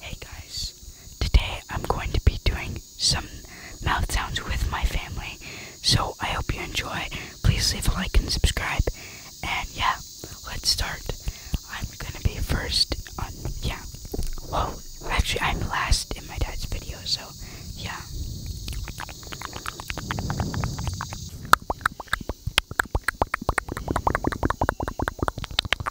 Hey guys, today I'm going to be doing some mouth sounds with my family, so I hope you enjoy. Please leave a like and subscribe, and yeah, let's start. I'm gonna be first on, yeah, whoa, actually I'm last in my dad's video, so yeah.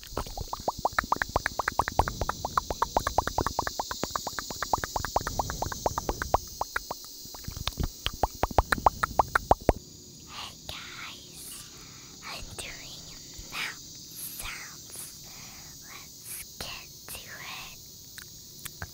Hey guys, I'm doing mouth sounds. Let's get to it.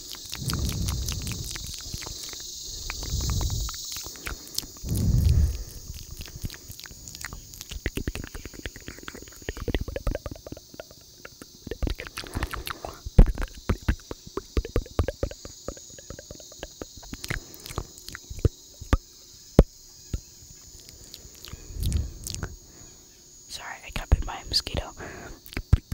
Sorry, I got bit by a mosquito.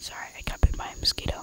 Sorry, I got bit by a mosquito.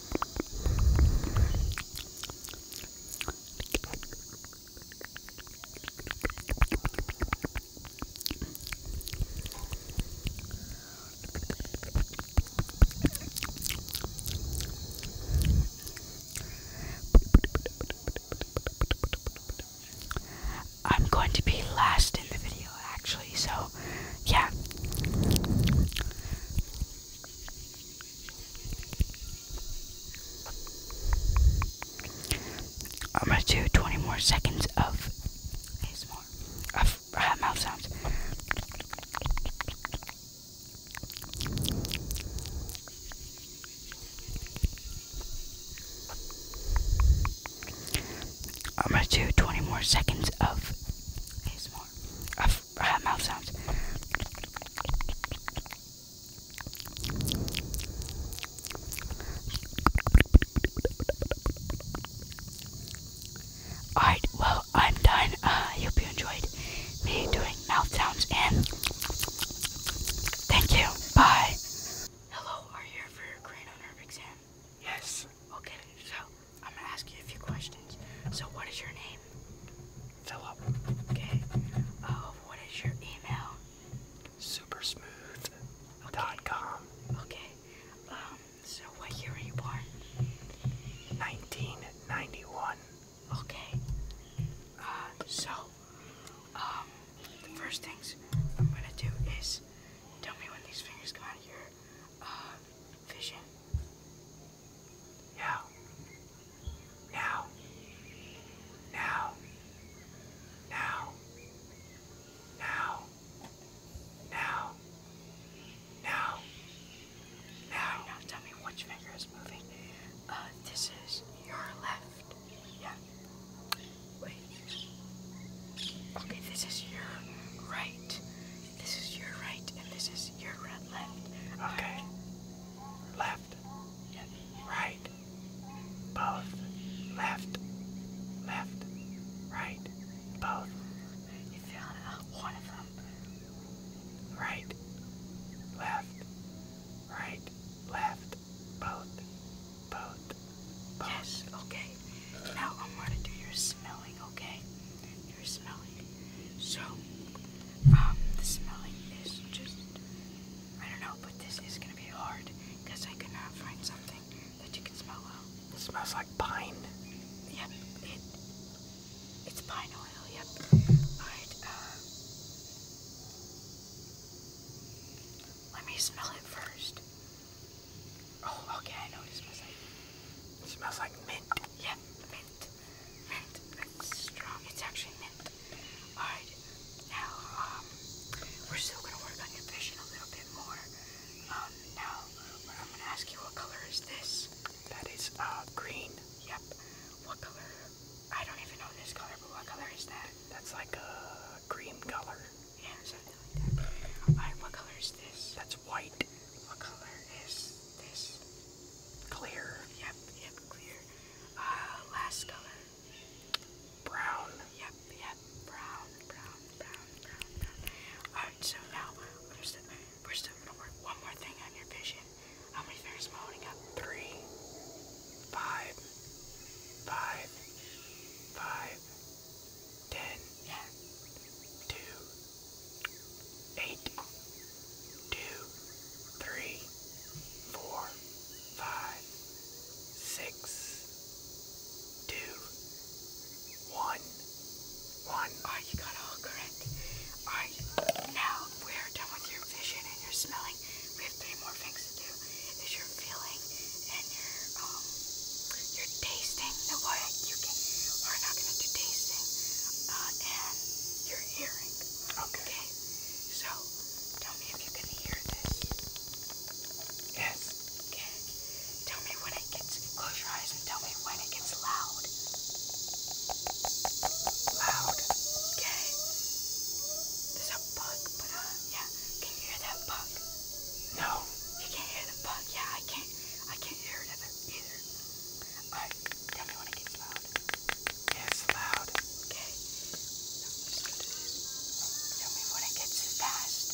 I'm going to be last in the video actually, so yeah. I'm gonna do 20 more seconds of ASMR, of uh, mouth sounds. I'm gonna do 20 more seconds of I've, mouth sounds. Alright, well, I'm done. Uh, I hope you enjoyed me doing mouth sounds and thank you. Bye. Hello, are you here for your crane on exam? Yes. Okay, so I'm gonna ask you a few questions. So, what is your name? Philip. Okay. Uh, what is your email? Supersmooth.com. Okay. okay. Um, so what year were you born? 1991. Okay. Uh, so, um, the first things I'm gonna do is tell me when these fingers come out of your, uh, Vision. Now. Now. Now. Now. Now. Now. Now. Now. Now tell me which finger is moving. Uh, this is your left. Yeah. Wait. Okay, this is your right. This is your right, and this is your right, left. Okay. Left. Yes. Right. Both. Left. Left. Right. Both. You found uh, one of them. Right. Left. Right. Left. Both. Both. Yes. Okay. Now I'm gonna do your smelling, okay? Your smelling. So, um, the smelling is just I don't know, but this is gonna be hard because I cannot find something that you can smell well. It smells like pine. Yep, it it's pine oil, yep. Alright, uh, let me smell it first. Oh, okay, I know what it smells like. It smells like mint. Yeah, mint. Mint. That's strong. It's actually mint. Alright, now, um, we're still gonna work on your vision a little bit more. Um, now, I'm gonna ask you what color is this? That is, uh, green. Yep. What color? I don't even know this color, but what color is that? That's like a green color. That's white. Clear. Yep, yep, clear. Uh, last color. Brown. Yep, yep, brown, brown, brown, brown, brown. Alright, so now we're still, gonna work one more thing on your vision. How many fingers am holding up? Three, five, five, five, ten, two, eight, two, three, four, five, six, two, one, one. Oh, you got all correct. All right, now we're done with your vision and your smelling. We have three more things to do. Is your feeling and your um your tasting. The what you can are not gonna do tasting. Uh, and your hearing. okay. So tell me if you can hear this. Yes. Okay. Tell me when it gets close your eyes and tell me when it gets loud. Loud. Okay. There's a bug, but uh yeah. Can you hear that bug? No. Oh, you can't hear the bug. Yeah, I can't. I can't hear it either. Alright, tell me when it gets loud. it's loud. Okay. Tell me when it gets fast.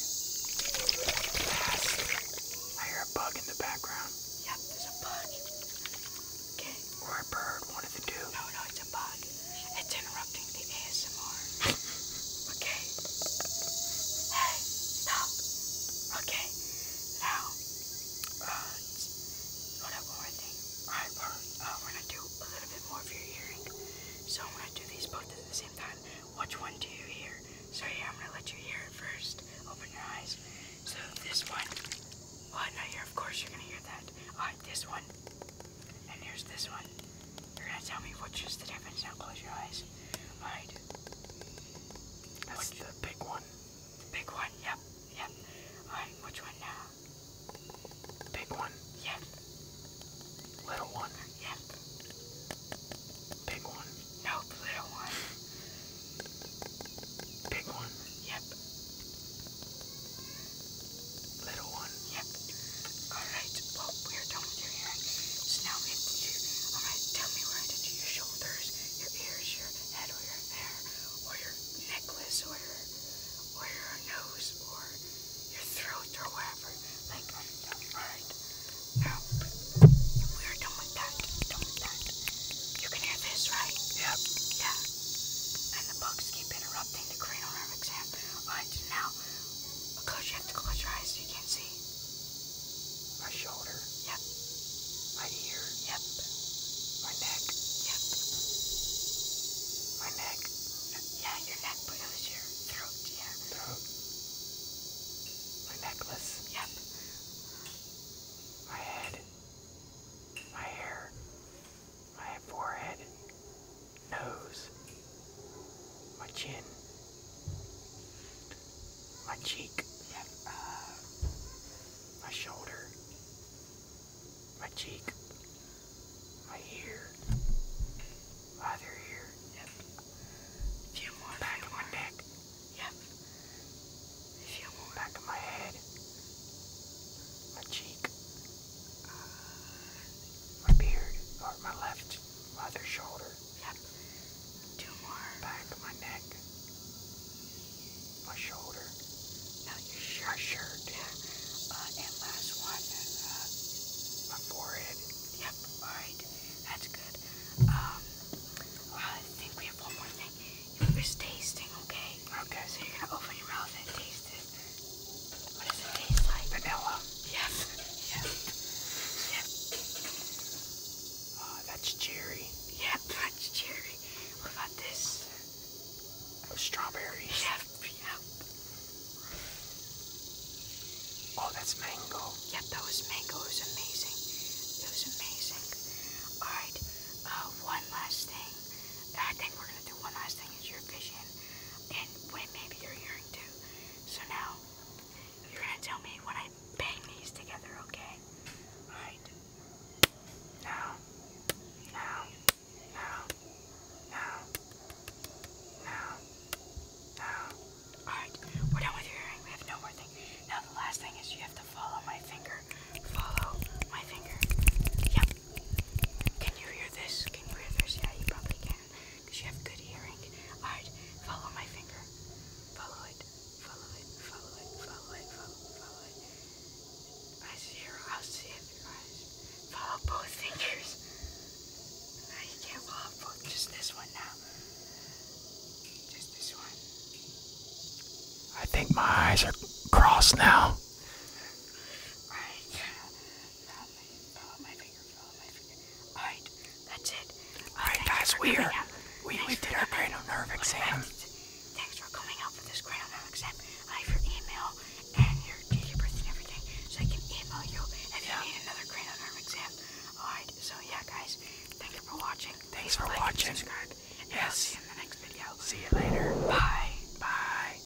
Fast. I hear a bug in the background. Yep, there's a bug. Okay. Or a bird, one of the No, no, it's a bug. It's interrupting the ASMR. okay. Hey, stop. Okay. Now, what uh, one more thing. Alright, we're, uh, we're gonna do a little bit more for your hearing. So I'm gonna do these both at the same time. Which one do you hear? So yeah, I'm gonna let you hear it first. Open your eyes. So this one. Well, no, here, of course you're gonna hear that. Alright, this one. And here's this one. You're gonna tell me what's just the difference. Now close your eyes. Alright. That's the big one. big one, yep, yep. Alright, which one now? Big one. Yep. Little one. Yep. Big one. Nope, little one. Big one. Yep little one. Yep. Alright, well, we are done with your hearing. So now we have to alright, tell me where I did your shoulders, your ears, your head, or your hair, or your necklace, or your, or your nose, or your throat, or whatever. Like, alright. Now, we are done with that. Done with that. You can hear this, right? Yep. Yeah. And the bugs keep interrupting the cranial exam. Alright, now. But close, you have to close your eyes so you can't see. My shoulder. Yep. My ear. Yep. My neck. Yep. My neck. Yeah, your neck, but it your throat, yeah. Throat. My necklace. Yep. My head. My hair. My forehead nose, my chin, my cheek, uh, my shoulder, my cheek, my ear, my other ear, A few more, back of my neck, yep. A few more, back of my head, my cheek my uh, beard, or my left, other shoulder. Yep. Two more. Back of my neck. My shoulder. No, your shirt. Yeah. Uh, and last one, uh, my forehead. Yep. All right. That's good. Um, I think we have one more thing. If There's tasting, okay? Okay. So you're gonna open your mouth and taste it. What does it taste like? Vanilla. Yes. Yes. Yes. Oh, that's cherry. Yep, that's cherry. What about this? strawberries. Yep, yep. Oh, that's mango. Yep, that was mango. It was amazing. It was amazing. All right. Uh, one last thing. I think we're gonna do one last thing. Is your vision? and when maybe you're too. So now you're gonna tell me when I bang these together, okay? Alright. Now, now, now, now, now, now. Alright, we're done with your hearing. We have no more thing. Now the last thing is you have to follow my finger. Follow my finger. Yep, can you hear this? Can you hear this? Yeah, you probably can. you have good hearing. Alright, follow my finger. Follow it. Follow it. Follow it. Follow it. Follow it. I see her. I'll see it through your eyes. Follow both fingers. No, you can't follow Just this one now. Just this one. I think my eyes are crossed now. Right. Alright, that's it. Alright guys, we we, did our cranial nerve exam. Thanks for coming out for this cranial nerve exam. I have your email and your date of birth and everything, so I can email you if yeah. you need another cranial nerve exam. Alright, so yeah guys, thank you for watching. Thanks for watching. subscribe. And yes. I'll see you in the next video. See you later. Bye. Bye.